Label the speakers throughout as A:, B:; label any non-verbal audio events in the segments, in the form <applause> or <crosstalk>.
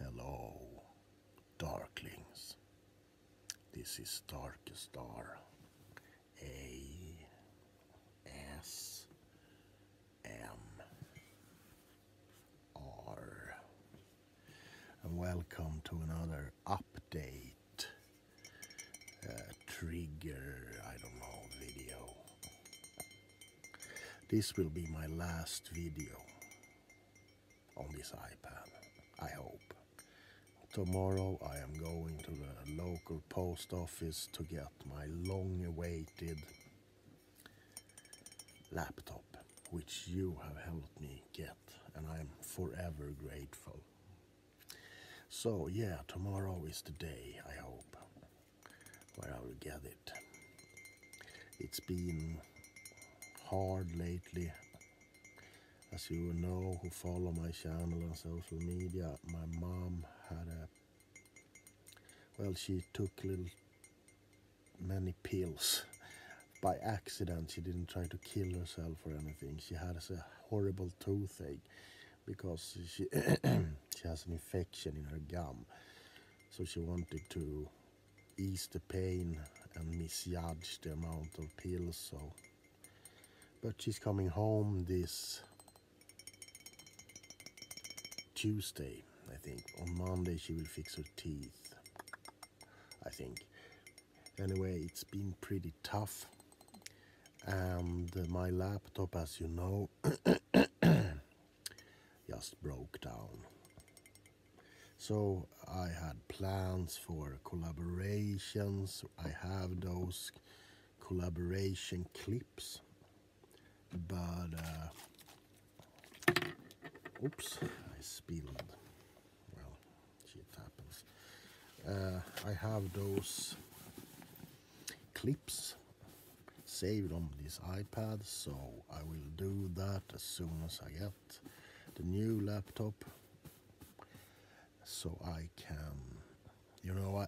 A: Hello, darklings. This is Darkestar A S M R, and welcome to another update uh, trigger. I don't know video. This will be my last video on this iPad, I hope. Tomorrow I am going to the local post office to get my long-awaited laptop, which you have helped me get, and I am forever grateful. So yeah, tomorrow is the day, I hope where I will get it. It's been hard lately. As you know who follow my channel on social media, my mom had a well she took little many pills by accident she didn't try to kill herself or anything she had a horrible toothache because she <coughs> she has an infection in her gum so she wanted to ease the pain and misjudge the amount of pills so but she's coming home this Tuesday I think on Monday she will fix her teeth I think anyway it's been pretty tough and my laptop as you know just broke down. So I had plans for collaborations. I have those collaboration clips, but uh, oops, I spilled. Well, shit happens. Uh, I have those clips saved on this iPad so I will do that as soon as I get the new laptop so I can you know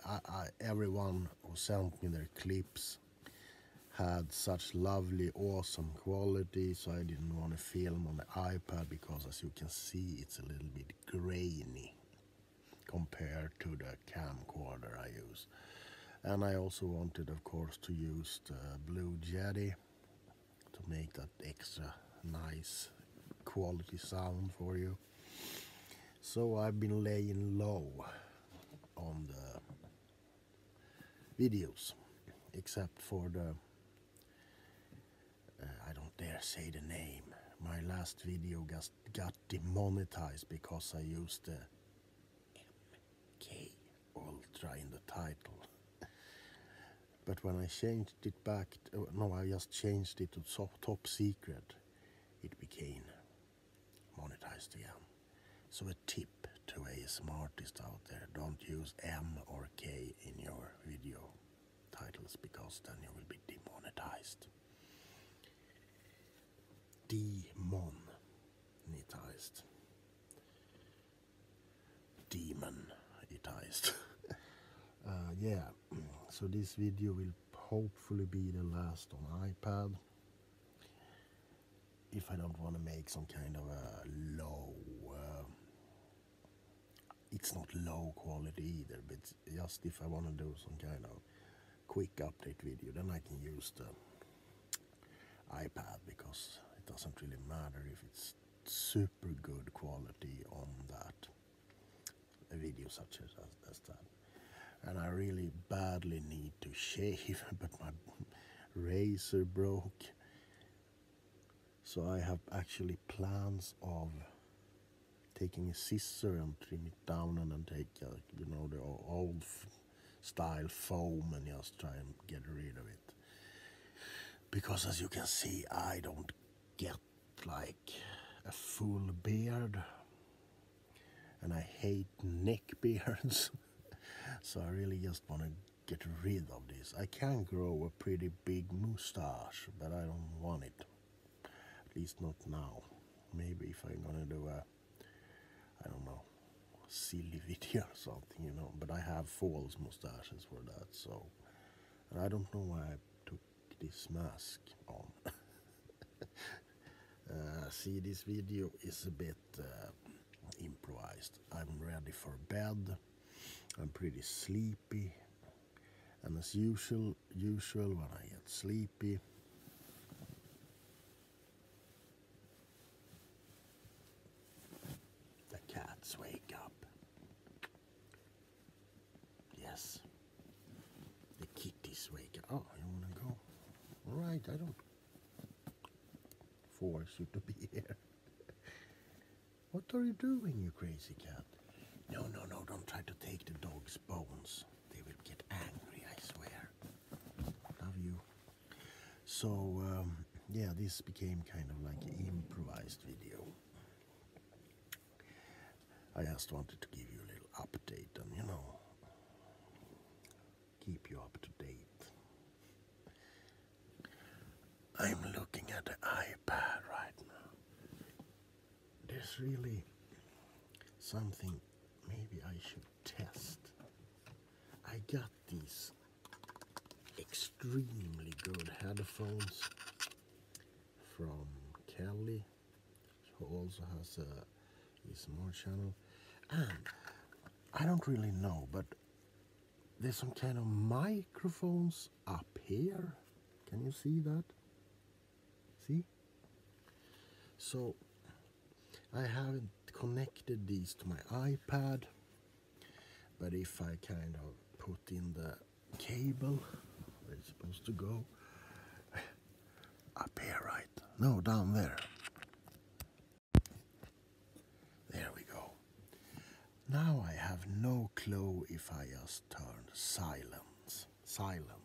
A: everyone who sent me their clips had such lovely awesome quality so I didn't want to film on the iPad because as you can see it's a little bit grainy compared to the camcorder I use and I also wanted of course to use the blue jetty to make that extra nice quality sound for you so I've been laying low on the videos except for the uh, I don't dare say the name my last video just got demonetized because I used the MK Ultra in the title. but when I changed it back, oh, no, I just changed it to Top Secret, it became monetized again. So a tip to ASM artists out there, don't use M or K in your video titles because then you will be demonetized demonetized. Demonetized. <laughs> uh, yeah, so this video will hopefully be the last on iPad. If I don't want to make some kind of a low, um, it's not low quality either, but just if I want to do some kind of quick update video, then I can use the iPad because it doesn't really matter if it's super good quality on that a video such as, as that. And I really badly need to shave, <laughs> but my razor broke. So I have actually plans of taking a scissor and trim it down and then take, uh, you know, the old style foam and just try and get rid of it. Because as you can see, I don't get like a full beard and I hate neck <laughs> beards. so I really just want to get rid of this. I can grow a pretty big mustache, but I don't want it. At least not now. Maybe if I'm gonna do a I don't know silly <laughs> video or something, you know. But I have false mustaches for that, so I don't know why I took this mask <laughs> uh, see, this video is a bit uh, improvised. I'm ready for bed. I'm pretty sleepy, and as usual, usual when I get sleepy, the cats wake up. Yes. The kitties wake up. Oh, you wanna go? All right, I don't force you to be <laughs> here. what are you doing, you crazy cat? No, no, no, don't try to take the dog's bones. They will get angry, I swear. Love you. So, um, yeah, this became kind of like an improvised video. I just wanted to give you a little update and, you know, keep you up to date. I'm looking at the iPad right now. There's really something maybe I should test, I got these extremely good headphones from Kelly, who also has a small channel. And I don't really know, but there's some kind of microphones up here. Can you see that? See? So I haven't connected these to my iPad but if I kind of put in the cable where it's supposed to go up here right no down there there we go now I have no clue if I just turned silence. Silence.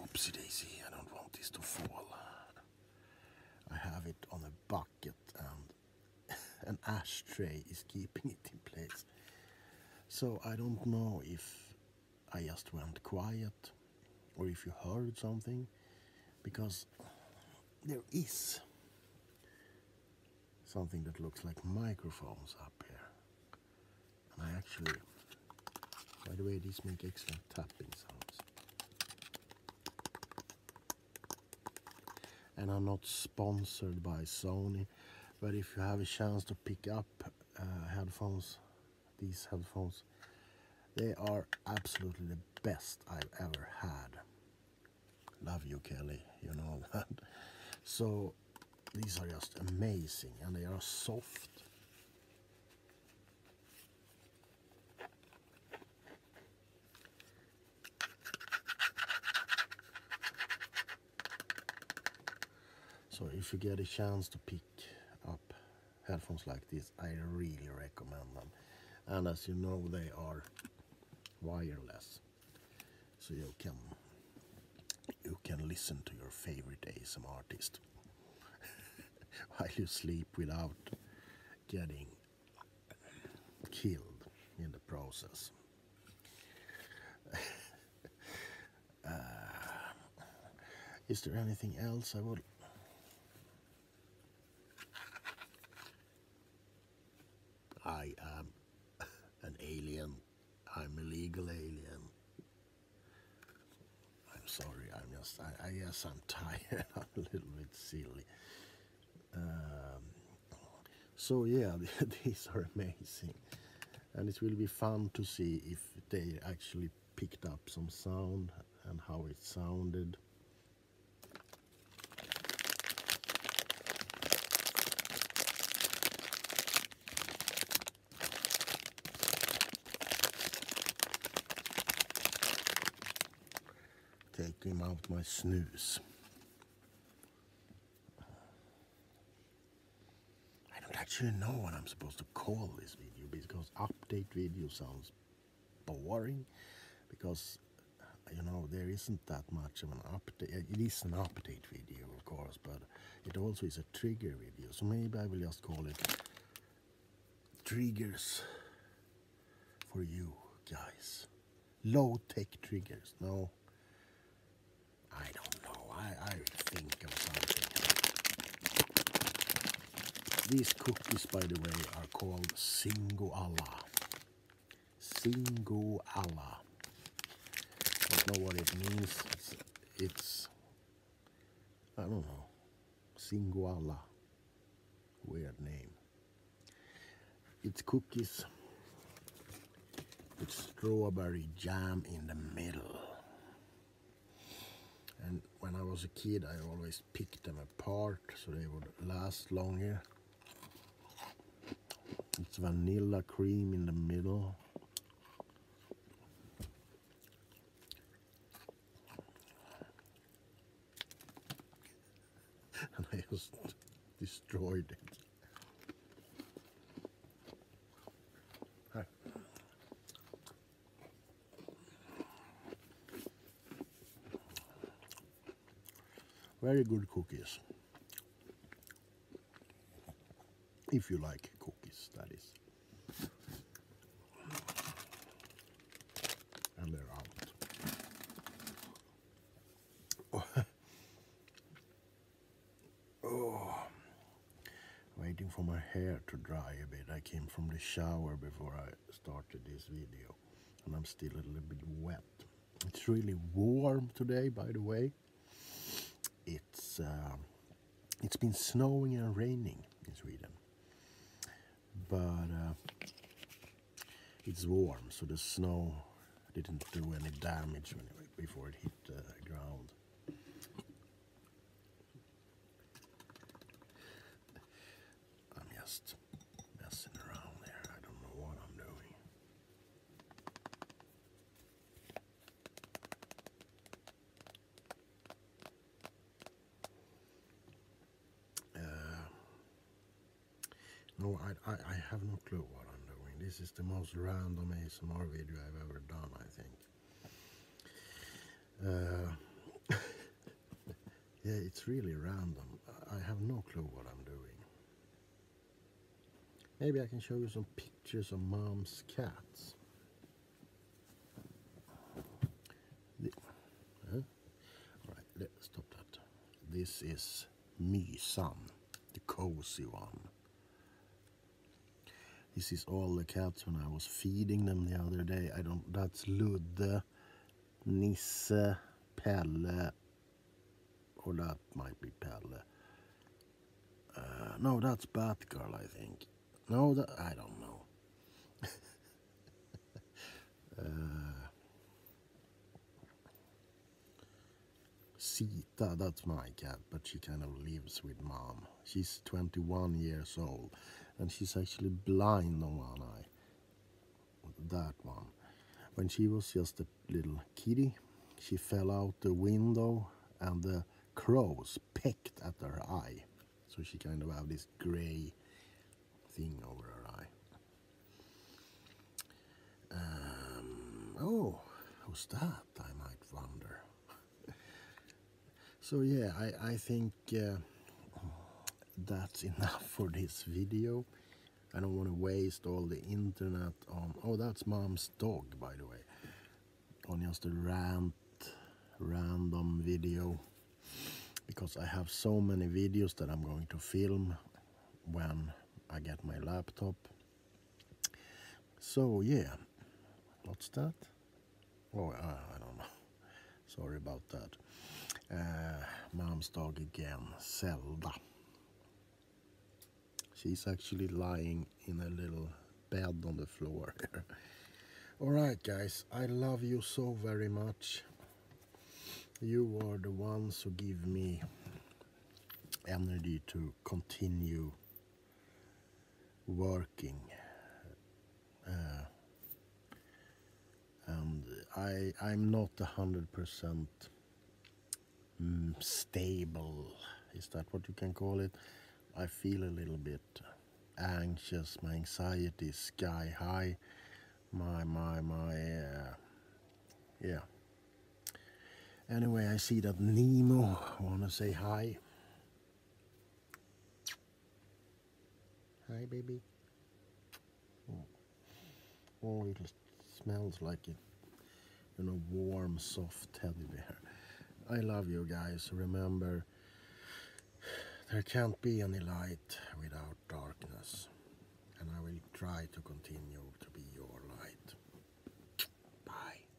A: Whoopsie daisy, I don't want this to fall. I have it on a bucket and <laughs> an ashtray is keeping it in place. So I don't know if I just went quiet or if you heard something because there is something that looks like microphones up here and I actually by the way these make excellent tapping sounds and I'm not sponsored by Sony but if you have a chance to pick up uh, headphones these headphones. They are absolutely the best I've ever had. Love you, Kelly, you know <laughs> that. So these are just amazing and they are soft. So if you get a chance to pick up headphones like this I really recommend them and as you know they are wireless so you can you can listen to your favorite ASM artist <laughs> while you sleep without getting killed in the process <laughs> Uh, is there anything else I would... I am an alien. I'm a legal alien. I'm sorry, I'm just, I, guess I'm <laughs> tired. I'm a little bit silly. Um, so yeah, <laughs> these are amazing and it will be fun to see if they actually picked up some sound and how it sounded taking out my snooze I don't actually know what I'm supposed to call this video because update video sounds boring because uh, you know there isn't that much of an update it is an update video of course but it also is a trigger video so maybe I will just call it triggers for you guys low-tech triggers no I don't know Oh, I, think of something. These cookies, by the way, are called Singoalla. Singoalla. Don't know what it means. It's, I don't know. Singoalla. Weird name. It's cookies with strawberry jam in the middle. And when I was a kid, I always picked them apart so they would last longer. It's vanilla cream in the middle. <laughs> and I just destroyed it. Very good cookies. If you like cookies, that is. And they're out. <laughs> Oh, waiting for my hair to dry a bit. I came from the shower before I started this video and I'm still a little bit wet. It's really warm today, by the way. It's uh, It's been snowing and raining in Sweden. But uh, it's warm, so the snow didn't do any damage before it hit the ground. I'm just messing around there. I don't know what I'm doing. Uh, no, I, I have no clue what I'm doing. This is the most random ASMR video I've ever done, I think. Uh, <laughs> yeah, it's really random. I have no clue what I'm doing. Maybe I can show you some pictures of mom's cats. All right, let's stop that. This is me, Mysan, the cozy one. This is all the cats when I was feeding them the other day. I don't, that's Lude, Nisse, Pelle, or that might be Pelle. Uh, no, that's Batgirl, I think. No, that, I don't know. <laughs> uh, Sita, that's my cat, but she kind of lives with mom. She's 21 years old and she's actually blind on one eye. That one. When she was just a little kitty, she fell out the window and the crows pecked at her eye. So she kind of have this gray thing over her eye. Um, oh, who's that, I might wonder. So yeah, I, I think uh, that's enough <laughs> for this video. I don't want to waste all the internet on... Oh, that's mom's dog, by the way. On just a rant, random video. Because I have so many videos that I'm going to film when I get my laptop. So yeah, what's that? Oh, I don't know. <laughs> Sorry about that. Uh, mom's dog again, Zelda. She's actually lying in a little bed on the floor <laughs> Alright guys, I love you so very much. You are the ones who give me energy to continue working uh, and I I'm not a hundred percent mm, stable is that what you can call it I feel a little bit anxious my anxiety sky high my my my uh, yeah anyway I see that Nemo I wanna say hi Hi, baby. Oh, oh it just smells like it. You know, warm, soft teddy bear. I love you guys. Remember, there can't be any light without darkness. And I will try to continue to be your light. Bye.